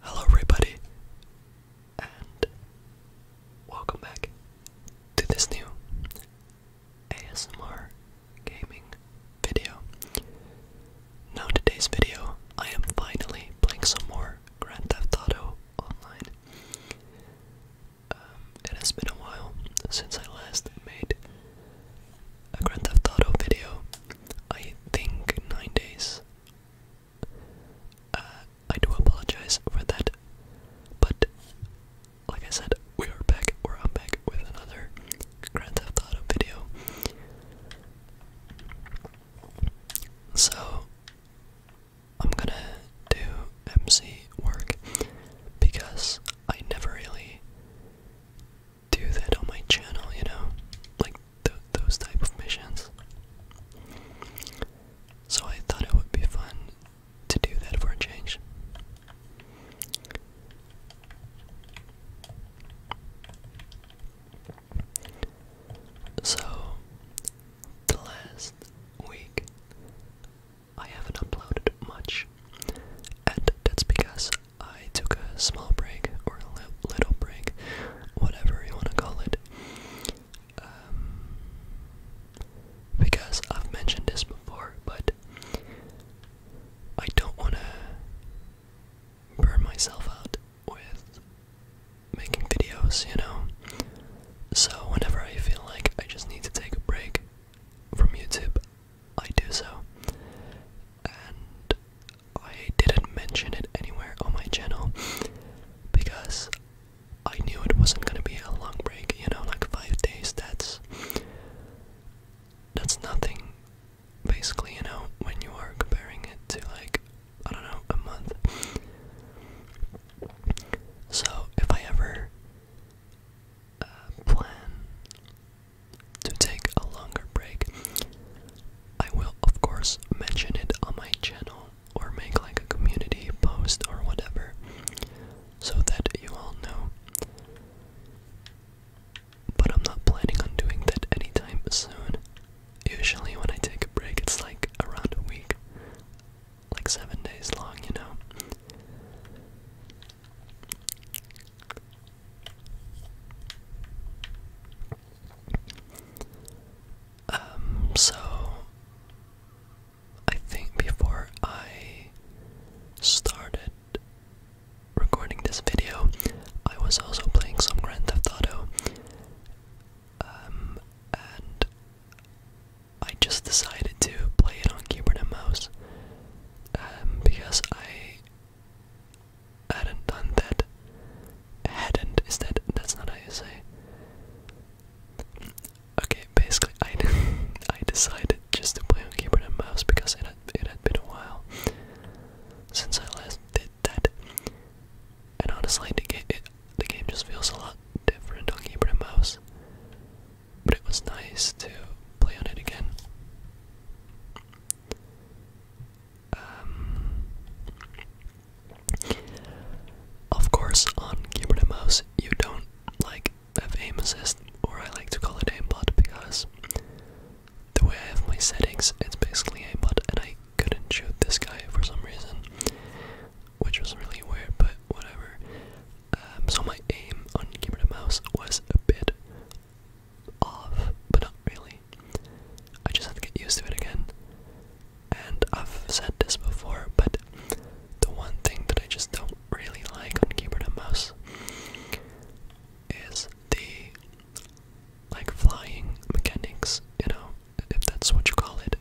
Hello, everybody, and welcome back to this new ASMR gaming video. Now, today's video, I am finally playing some more Grand Theft Auto Online. Um, it has been a while since I last made a Grand Theft Auto video. I think nine days. Uh, I do apologize for that, but like I said, we are back, or i back with another Grand Theft Auto video. So, I'm gonna do MC work because I never really do that on my channel, you know, like those type of missions. So I thought it would be fun to do that for a change. So, the last week I haven't uploaded much, and that's because I took a small break or a little break, whatever you want to call it. Um, because I've mentioned this before, but I don't want to burn myself out with making videos, you know? So, whenever I feel like I just need to take a break from YouTube, I do so. And I didn't mention it anywhere on my channel because I knew it wasn't gonna be a long break, you know, like five days, that's that's nothing basically, you know, when you are comparing it to like I don't know, a month. So if I ever uh, plan to take a longer break. I will, of course, mention it on my channel or make like a community post or whatever so that you all know. But I'm not planning on doing that anytime soon. Usually, when I take a break, it's like around a week, like seven days long, you know. Um, so I think before I started recording this video, I was also playing some Grand Theft Auto. Um, and I just decided to play it on keyboard and mouse um, because I hadn't done that. Hadn't is that that's not how you say. Okay, basically I I decided just to play on keyboard and mouse because it had, it had been a while since I last did that. And honestly, the game the game just feels a lot different on keyboard and mouse but it was nice to play on it again. Um, of course, on keyboard and mouse, you don't like have aim assist, or I like to call it aimbot because the way I have my settings, it's basically aimbot, and I couldn't shoot this guy for some reason, which was really weird, but whatever. Um, so my aim on keyboard and mouse was a bit off, but not really. I just have to get used to it again. And I've said this before, but the one thing that I just don't really like on keyboard and mouse is the like flying mechanics, you know, if that's what you call it.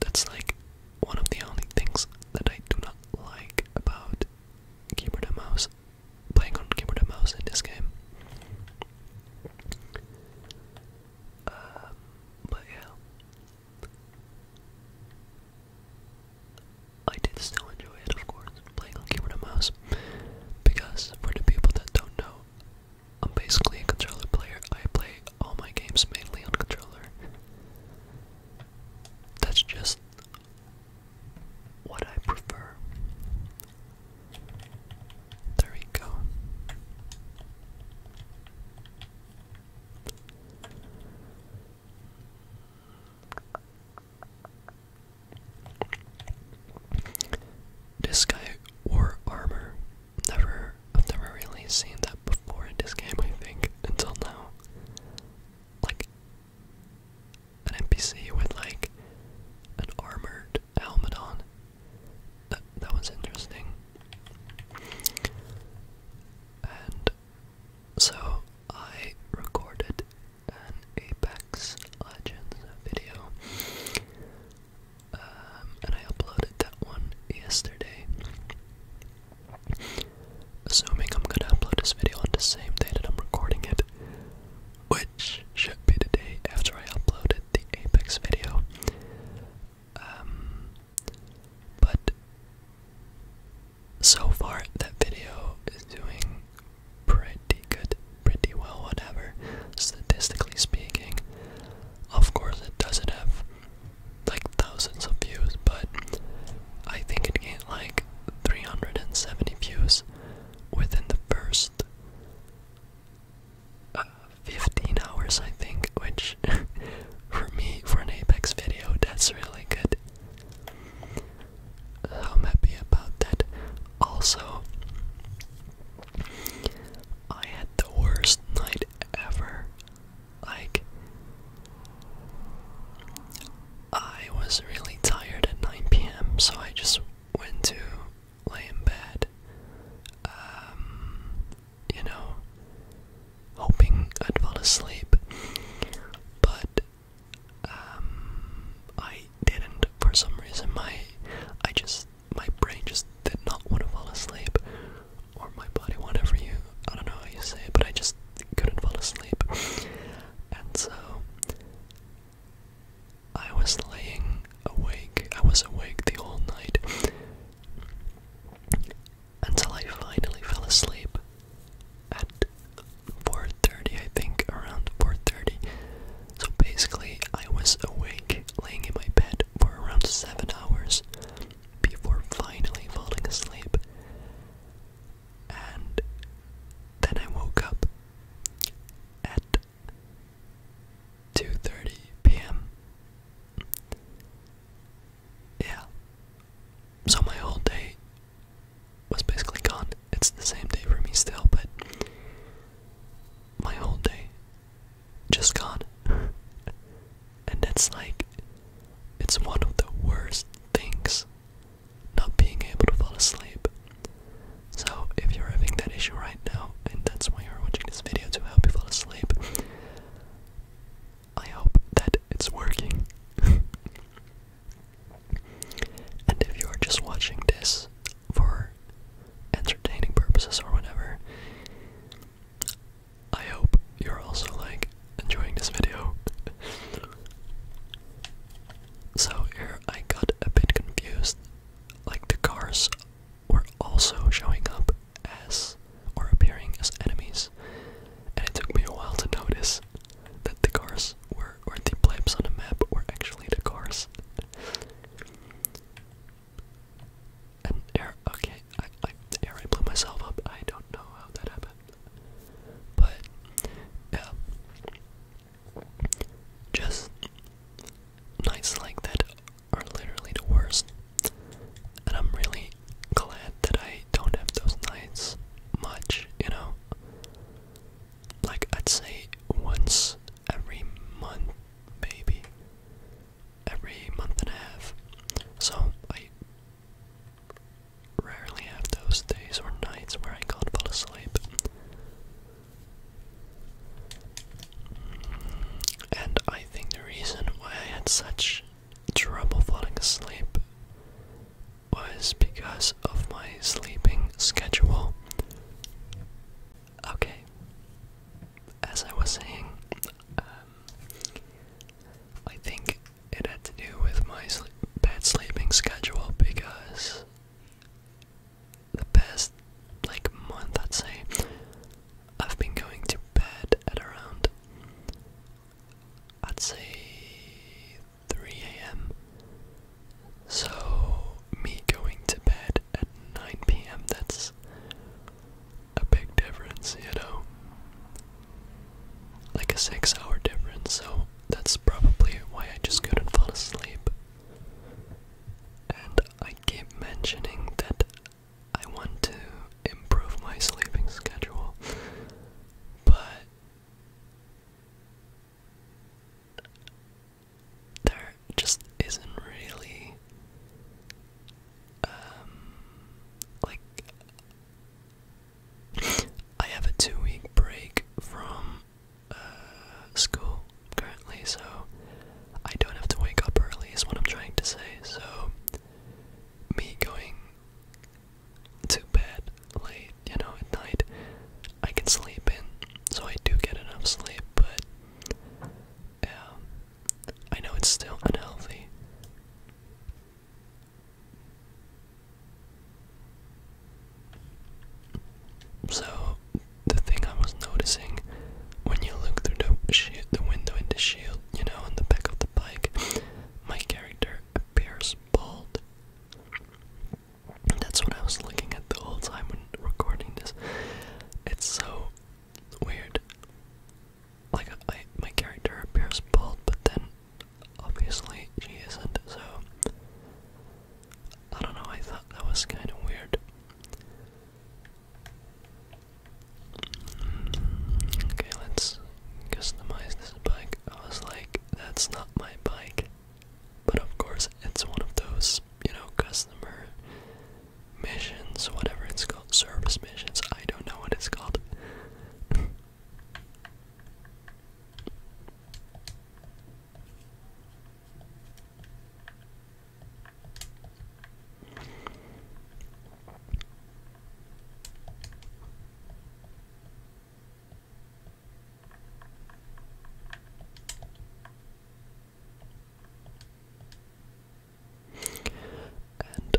That's like one of the only things that I do not like about keyboard and mouse, playing on keyboard and mouse in this game. Um, but yeah. I did still enjoy it, of course, playing on keyboard and mouse, because for the people that don't know, I'm basically a controller player. I play all my games mainly on controller. That's just what I prefer. There we go. This guy wore armor, never I've never really seen that before in this game, I think, until now. Like, an NPC with, like, an armored helmet on. That, was interesting. And so I recorded an Apex Legends video. Um, and I uploaded that one yesterday. Assuming I'm gonna upload this video on the same day that I'm recording it, which should be the day after I uploaded the Apex video. Um, but so far, that video is doing pretty good, pretty well, whatever, statistically speaking. Of course, it doesn't have like thousands of views, but I think it gained like 370 views within the first uh, 15 hours, I think, which for me, for an Apex video, that's really good. I'm happy about that. Also, I had the worst night ever. Like, I was really tired at 9 p.m., so I just went to lay in bed, um, you know, hoping I'd fall asleep. But, um, I didn't for some reason. My, I just, my brain just did not want to fall asleep or my body, whatever you, I don't know how you say it, but I just couldn't fall asleep. And so I was laying awake, I was awake the whole night until I finally fell asleep at 4.30, I think, around 4.30. So basically, I was awake, laying in my bed for around 7 hours, before finally falling asleep. And then I woke up at 2:30 p.m. Yeah. So my whole day was basically gone. It's the same day for me still, but my whole day just gone. and it's like, it's one of the worst things not being able to fall asleep. So, if you're having that issue right now, and that's why you're watching this video to help you fall asleep, I hope that it's working. and if you're just watching this for entertaining purposes or whatever, I hope you're also like enjoying this video. so here I got a bit confused. Like the cars were also showing up as or appearing as enemies. And it took me a while to notice that the cars were or the blimps on the map were actually the cars. An air. Okay, I, I, I blew myself up. I don't know how that happened, but yeah, just nights like that are literally the worst, and I'm really glad that I don't have those nights much. You know, like I'd say once every month, maybe every month and a half. So I rarely have those days or nights where I can't fall asleep. And I think the reason why I had such trouble falling asleep was because of my sleeping schedule. Okay. As I was saying, um, I think it had to do with my bad sleeping schedule because the past like month, I'd say, I've been going to bed at around I'd say 3 a.m. So, me going to bed at 9 p.m. That's a big difference, you know? Like a six hour difference, so that's probably why I just couldn't fall asleep. And I keep mentioning that I want to improve my sleeping schedule, but there just isn't really um, like I have a two week break from uh, school currently so I don't have to wake up early is what I'm trying to say so me going to bed late you know at night I can sleep in so I do get enough sleep but yeah. I know it's still unhealthy. So, the thing I was noticing when you look through the, shield, the window in the shield, you know, on the back of the bike, my character appears bald. That's what I was looking at the whole time when recording this. It's so weird. Like, my character appears bald, but then obviously she isn't, so. I don't know, I thought that was kind of weird. Okay, let's customize this bike. I was like, that's not my bike. But of course, it's one of those, you know, customer missions, whatever it's called, service missions, I don't know what it's called. And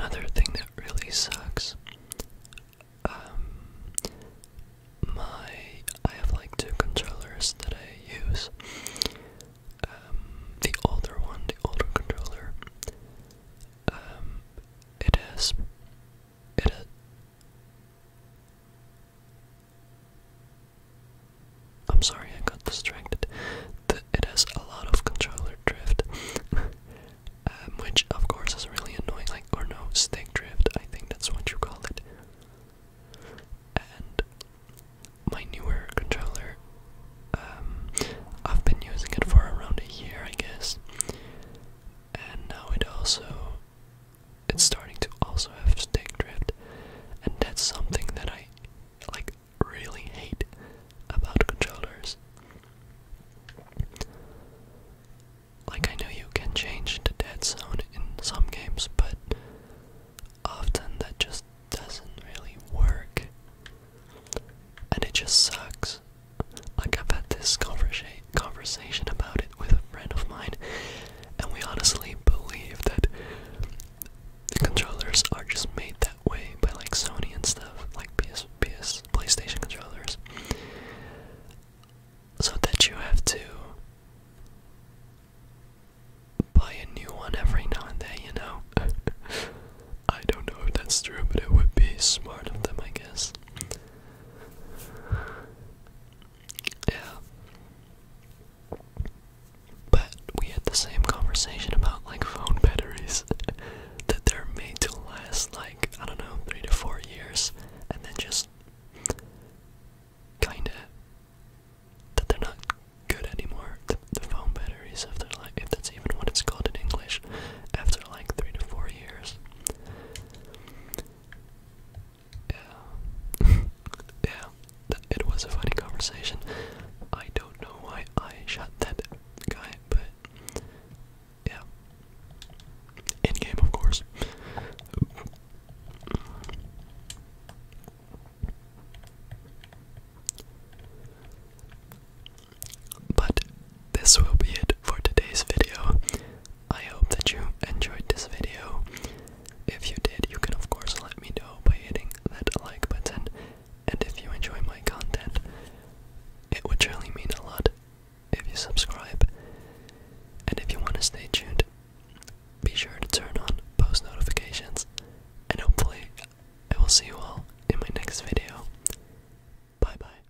another thing that really sucks, um, my I have like two controllers that I use. Um, the older one, the older controller, um, it I'm sorry, I got distracted. it has a lot of controller drift, um, which of course is really annoying. Like, or no, stick drift. I think that's what you call it. And my newer controller, um, I've been using it for around a year, I guess. And now it also it's starting to also have stick drift, and that's something that I like really hate about controllers. Like, I know you can change the dead zone in some games, but often that just doesn't really work. And it just sucks. Like, I've had this conversation conversation about it with a friend of mine, and we honestly believe that the controllers are just made that way by like Sony and stuff, like PS, PS, PlayStation controllers, so that you have to buy a new one every now and then, you know. I don't know if that's true, but it would be smart of them, I guess. Yeah. But we had the same conversation about like phone batteries that they're made to last like, I don't know, three to four years and then just kinda that they're not good anymore. The, the phone batteries if they're like if that's even what it's called in English after like three to four years. Yeah. yeah. it was a funny conversation. I don't know why I shot that guy, but yeah. In game, of course. But this will be it for today's video. I hope that you enjoyed this video. If you did, you can of course let me know by hitting that like button. And if you enjoy my content, it would surely mean a lot if you subscribe. And if you want to stay tuned, be sure to turn on post notifications. And hopefully, I will see you all in my next video. Bye bye.